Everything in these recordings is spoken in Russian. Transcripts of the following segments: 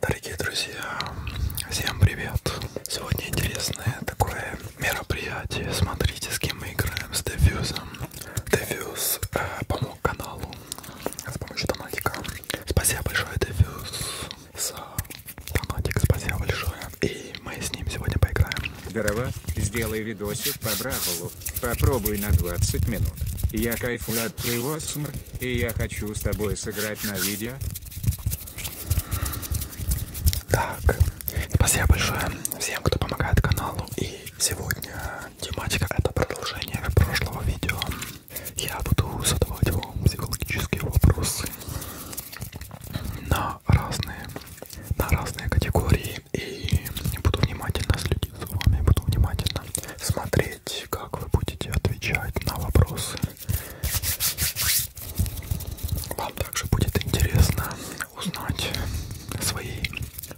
Дорогие друзья, всем привет! Сегодня интересное такое мероприятие. Смотрите, с кем мы играем, с Дефьюзом. Дефьюз э, помог каналу с помощью донатика. Спасибо большое, Дефьюз, за донатик. Спасибо большое. И мы с ним сегодня поиграем. Здорово, сделай видосик по Бравлу. Попробуй на 20 минут. Я кайфую от твоего смр. И я хочу с тобой сыграть на видео. Так, спасибо большое всем, кто помогает каналу. И сегодня тематика это продолжение прошлого видео. Я буду задавать вам психологические вопросы на разные, на разные категории. И буду внимательно следить за вами, буду внимательно интересно смотреть, как вы будете отвечать на вопросы. Вам также будет интересно узнать свои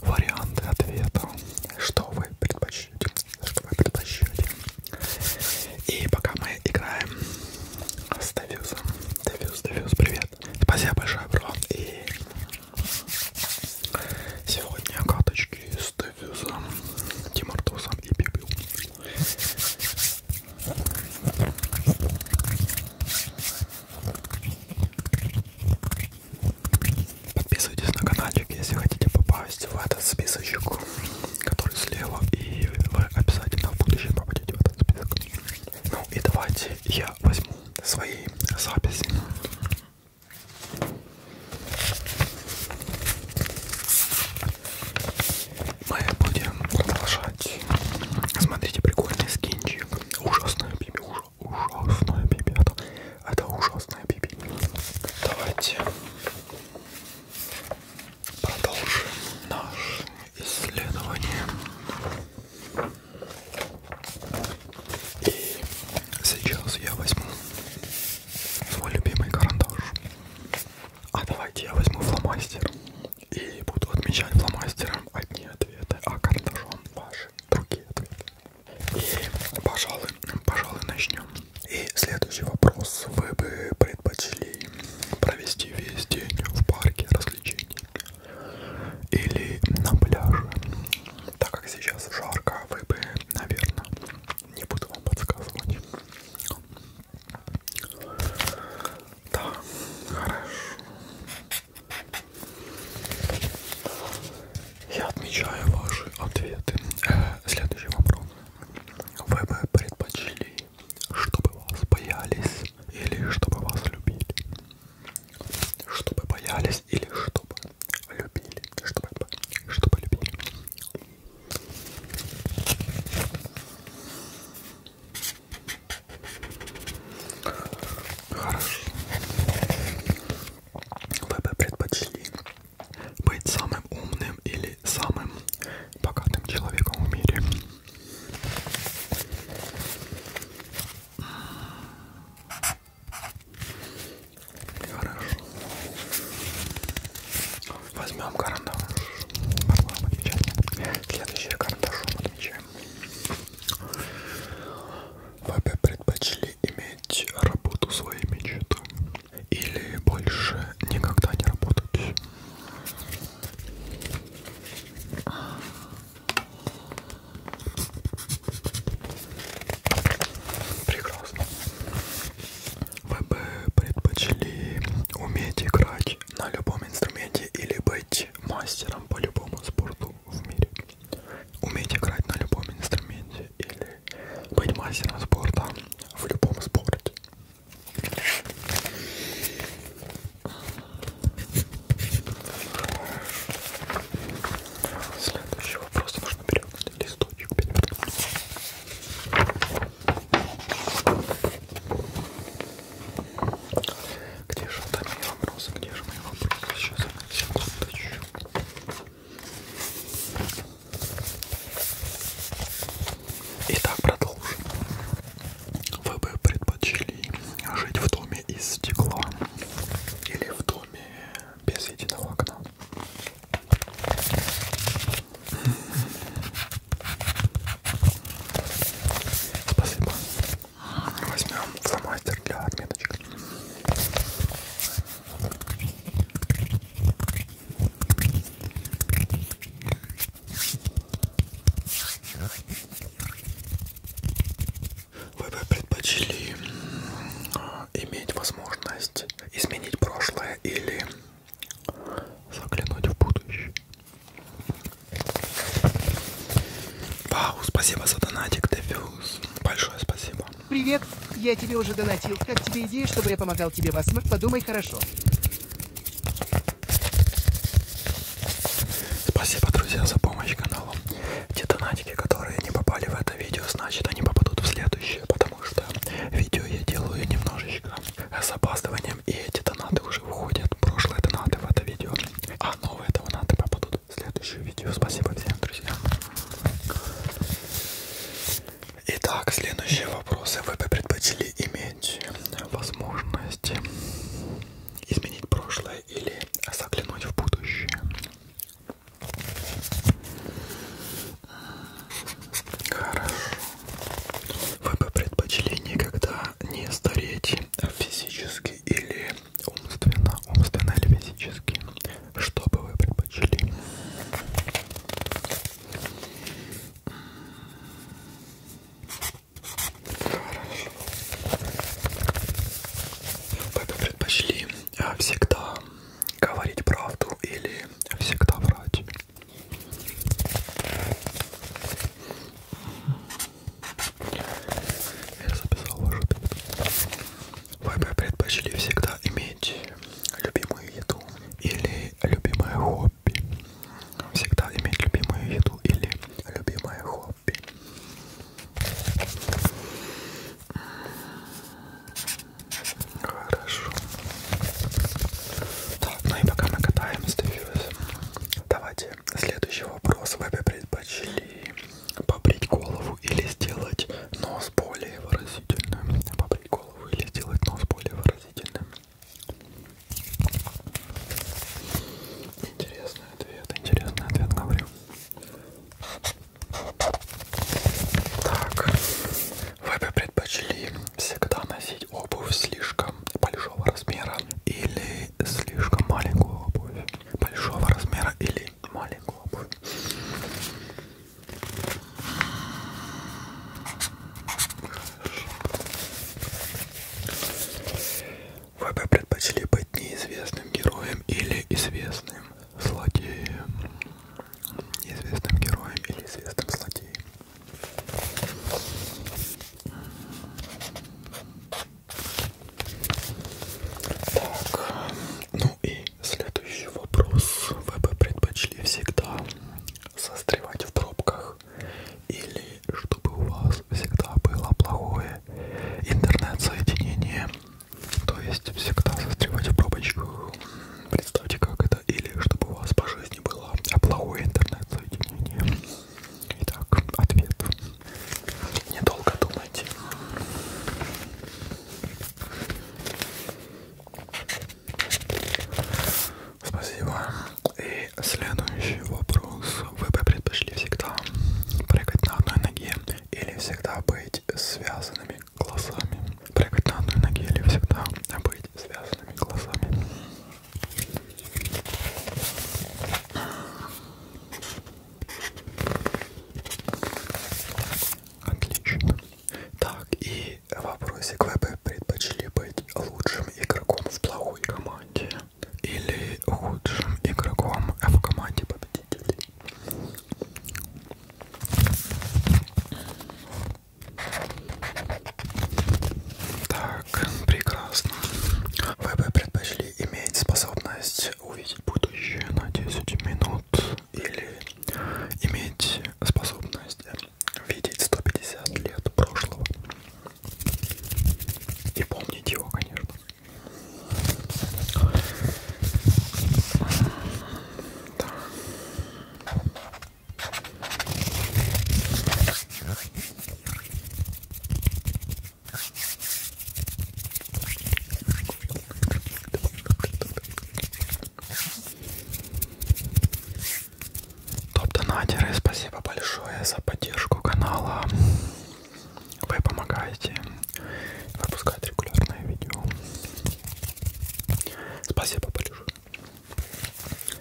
варианты ответа, что вы предпочтете, что вы предпочтете. И пока мы играем с Девюзом. Девюз, Девюз, привет. Спасибо большое, бро. И сегодня карточки девочки из Тефюза, Тимартуса и Пипил. Подписывайтесь на каналчик, если хотите попасть в этот списочек, который слева, и вы обязательно в будущем попадете в этот список. Ну и давайте я возьму свои записи мы будем продолжать. Смотрите, прикольный скинчик. Ужасная биби, ужа, ужасная биби. Это, это ужасная биби. Давайте продолжим наше исследование. И сейчас я возьму свой любимый карандаш. А давайте я возьму фломастер и буду отмечать фломастером одни ответы, а карандашом ваши другие ответы. И, пожалуй, пожалуй, начнем. И следующий вопрос. Вы бы предпочли провести весь день в парке развлечений или на пляже? Так как сейчас жарко, вы бы наверное. Не буду вам подсказывать. Да, хорошо. Я отмечаю ваши ответы. Э, следующий вопрос. Вы бы предпочли, чтобы вас боялись или чтобы вас любили? чтобы боялись или чтобы любили, чтобы, чтобы любили. Хорошо. Вы бы предпочли быть самым умным или самым богатым человеком в мире? Хорошо. Возьмем карандаш. Подложим отмечаем. Следующее карандашом отмечаем. Вы бы предпочли иметь работу своей мечты или больше никогда не работать? Прекрасно. Вы бы предпочли уметь играть на любом инструменте или быть мастером по любому спорту в мире? Уметь играть на любом инструменте или быть мастером спорта в любом спорте? Следующий вопрос. Нужно перевернуть листочек. Где же там мои вопросы? Где же мои вопросы? Сейчас, секундочку. Итак, продолжим. Вы бы предпочли жить в доме из стекла или в доме без единого окна. Спасибо. Возьмем фломастер для отметочек. Вы бы предпочли иметь возможность изменить прошлое или заглянуть в будущее? Вау, спасибо за донатик, Дефюз. Большое спасибо. Привет, я тебе уже донатил. Как тебе идея, чтобы я помогал тебе в осмык? Подумай хорошо. Спасибо, друзья, за помощь каналу. Те донатики, которые не попали в это видео, значит они попадут в следующее, потому что видео я делаю немножечко с опаздыванием, и эти донаты уже уходят. Прошлые донаты в это видео, а новые донаты попадут в следующее видео. Спасибо всем, друзья. Итак, следующие вопросы. Вы бы предпочли иметь возможность изменить прошлое или заглянуть в будущее. Хорошо. Вы бы предпочли никогда не стареть физически или умственно, умственно или физически? Что бы вы предпочли? Хорошо. Вы бы предпочли а, всегда говорить правду или всегда врать? Я записал вашу Вы бы предпочли всегда иметь любимую еду или любимое хобби? хобби. Всегда иметь любимую еду или любимое хобби. Хорошо. Так, ну и пока мы катаемся, давайте следующий вопрос. Вы бы предпочли побрить голову или сделать нос более выразительным? Побрить голову или сделать нос более выразительным? Интересный ответ, интересный ответ, говорю. Так, вы бы предпочли всегда носить обувь слишком большого размера или слишком маленькую обувь? Большого размера или маленькую обувь? Вы бы предпочли быть неизвестным героем или известным злодеем? Неизвестным героем или известным злодеем? Так, ну и следующий вопрос. Вы бы предпочли всегда застревать в пробках? плохих, или чтобы у вас всегда было плохое интернет-соединение, то есть всегда застревать в пробочках. Представьте, как это, или чтобы у вас по жизни было плохое интернет-соединение. Итак, ответ. Недолго думайте. Спасибо. И следующий вопрос. Вы бы предпочли всегда прыгать на одной ноге или всегда быть связанными глазами? Прыгать на одной ноге или всегда быть связанными глазами? Отлично. Так, и Третий вопросик. Вы бы предпочли быть лучшим игроком в плохой команде или худшим игроком в команде победителей? Так, прекрасно. Вы бы предпочли иметь способность увидеть будущее на 10 минут или иметь способность возможности видеть 150 лет прошлого и помнить его, конечно. Да. Топ-донатеры, спасибо большое за поддержку канала. Вы помогаете выпускать регулярное видео. Спасибо большое.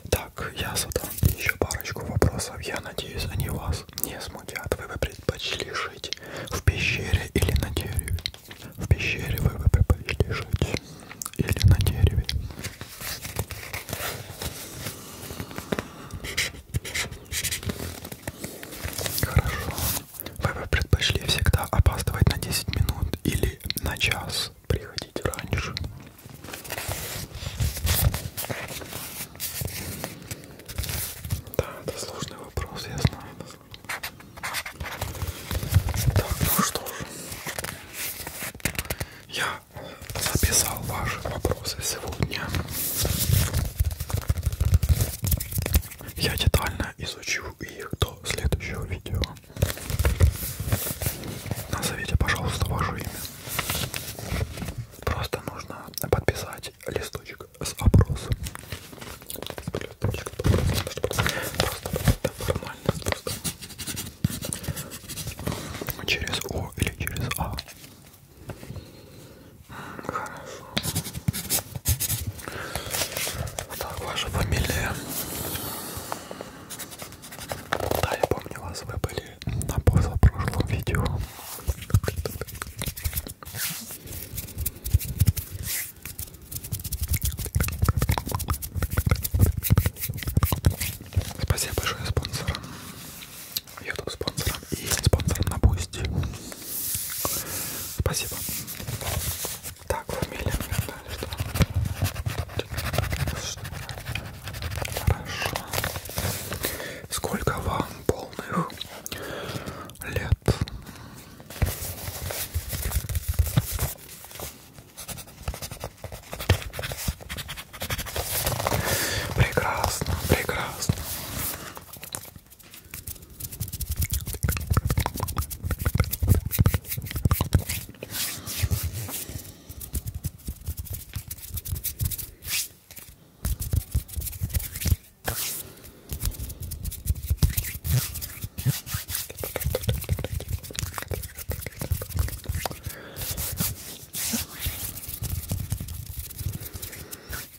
Так, я задам еще парочку вопросов. Я надеюсь, они вас не смутят. Вы бы предпочли жить в пещере или на дереве? В пещере вы предпочли жить или на дереве? Хорошо. Вы бы предпочли всегда опаздывать на 10 минут или на час приходить раньше? Да, это сложный вопрос, я знаю. Это сложный. Так, ну что же. Я записал ваши вопросы сегодня. Я детально изучу их до следующего видео. Назовите, пожалуйста, ваше имя. Просто нужно подписать листочек с опросом. Через О или через А? Хорошо. Так, ваша фамилия. Да, я помню вас, вы были на позапрошлом видео. Спасибо большое спонсорам, YouTube спонсорам и спонсорам на Бусти. Спасибо. Так, фамилия мне нравится. Хорошо. Сколько вам полных лет? Прекрасно, прекрасно.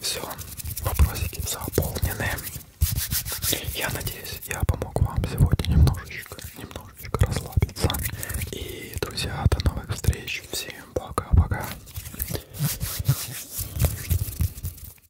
Все, вопросики заполнены. Я надеюсь, я помог вам сегодня немножечко, немножечко расслабиться. И, друзья, до новых встреч. Всем пока-пока.